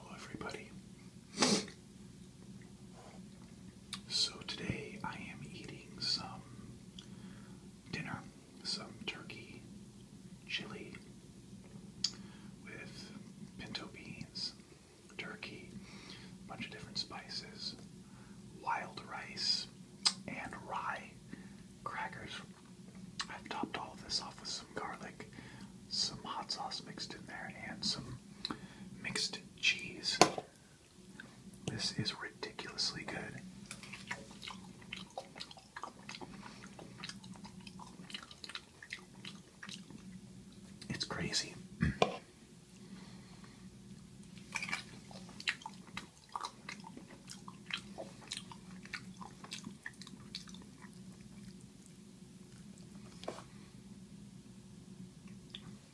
Hello, everybody. So today I am eating some dinner, some turkey chili with pinto beans, turkey, a bunch of different spices, wild rice, and rye crackers. I've topped all of this off with some garlic, some hot sauce mixed in there, and some mixed cheese. This is ridiculously good. It's crazy.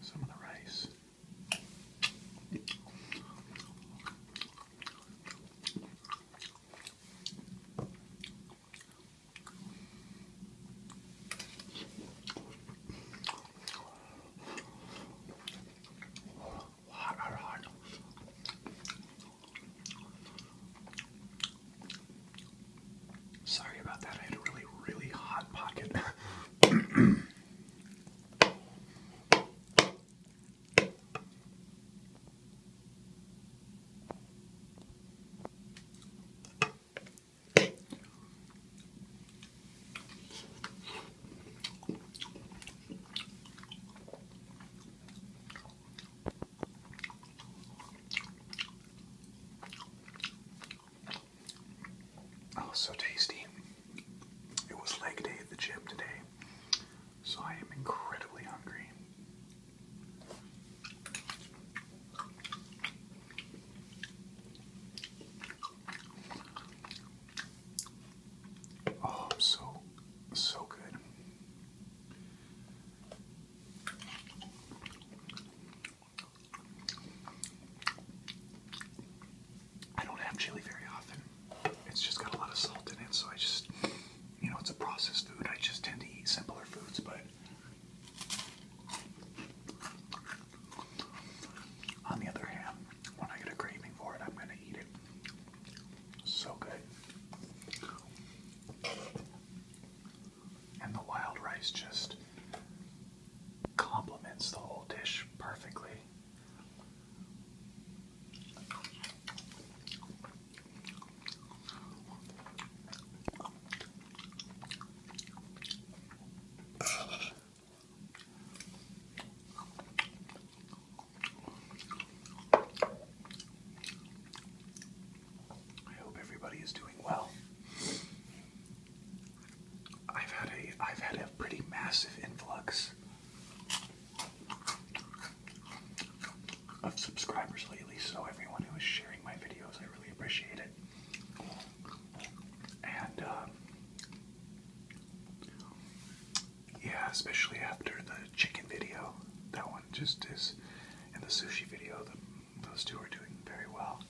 some of the rice. Hot, hot, hot. Sorry about that. I had a really, really hot pocket. Oh, so tasty. It was leg day at the gym today, so I am incredibly hungry. Oh, so, so good. I don't have chili very often. It's just got a lot of salt in it, so I just, you know, it's a processed food. I just tend to eat simpler foods, but on the other hand, when I get a craving for it, I'm going to eat it. So good and the wild rice just complements the whole dish perfectly. I hope everybody is doing well. I've had a I've had a pretty massive influx of subscribers lately, so everyone who is sharing my videos, I really appreciate it. And um, yeah, especially after the chicken video, that one just is in the sushi video, those two are doing very well.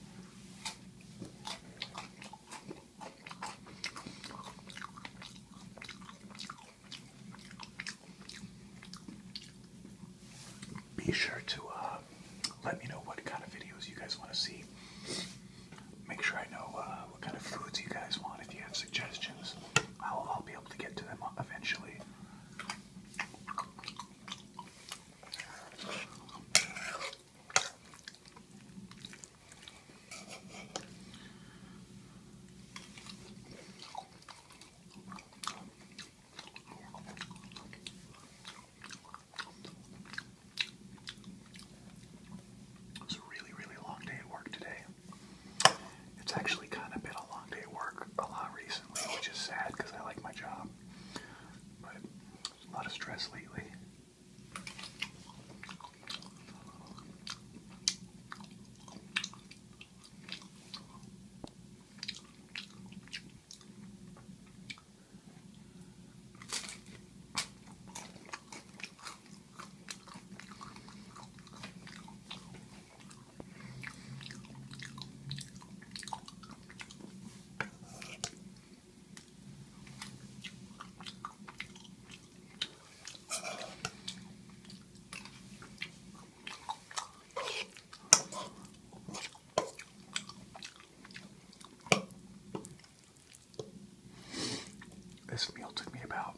Be sure to uh, let me know what kind of videos you guys want to see. Make sure I know uh, what kind of foods you guys want. If you have suggestions, I'll be able to get to them eventually. It's a really, really long day at work today. It's actually kind of been a long day at work a lot recently, which is sad because I like my job. But a lot of stress lately. This meal took me about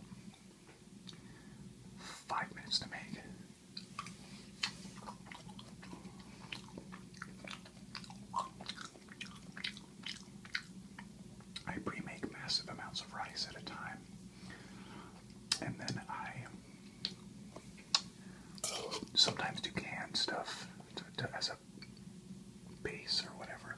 Five minutes to make. I pre-make massive amounts of rice at a time, and then I sometimes do canned stuff as a base or whatever.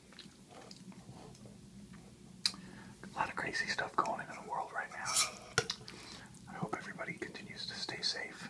A lot of crazy stuff going on in the world right now. I hope everybody continues to stay safe.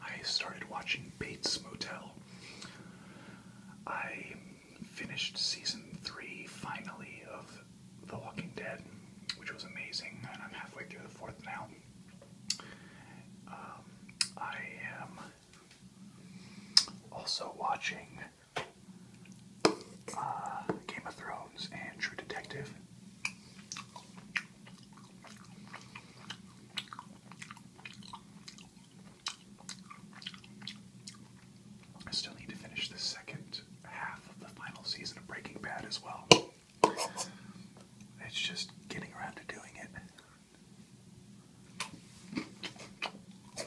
I started watching Bates Motel. I finished season three finally of The Walking Dead, which was amazing, and I'm halfway through the fourth now. Um, I am also watching uh, Game of Thrones and True Detective. I still need to finish the second half of the final season of Breaking Bad as well. It's just getting around to doing it.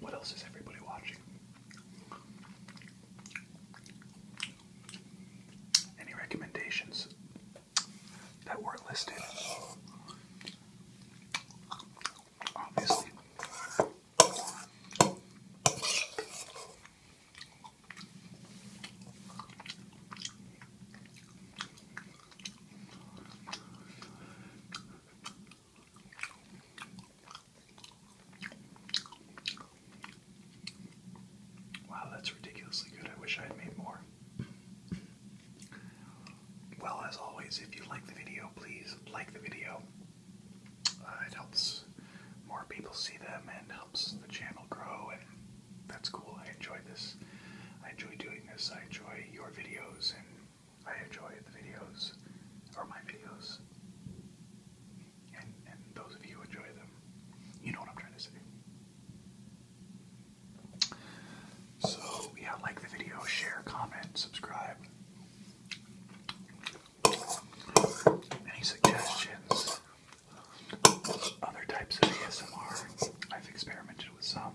What else is everybody watching? Any recommendations that weren't listed? Obviously. Wow, that's ridiculously good. I wish I had made more. Well, as always, if you like the video, please like the video. Uh, it helps more people see them and helps the channel grow and that's cool. I enjoy this. I enjoy doing this. I enjoy your videos, and I enjoy the videos, or my videos, and and those of you who enjoy them. You know what I'm trying to say. So yeah, like the video, share, comment, subscribe. Any suggestions? Other types of ASMR. I've experimented with some.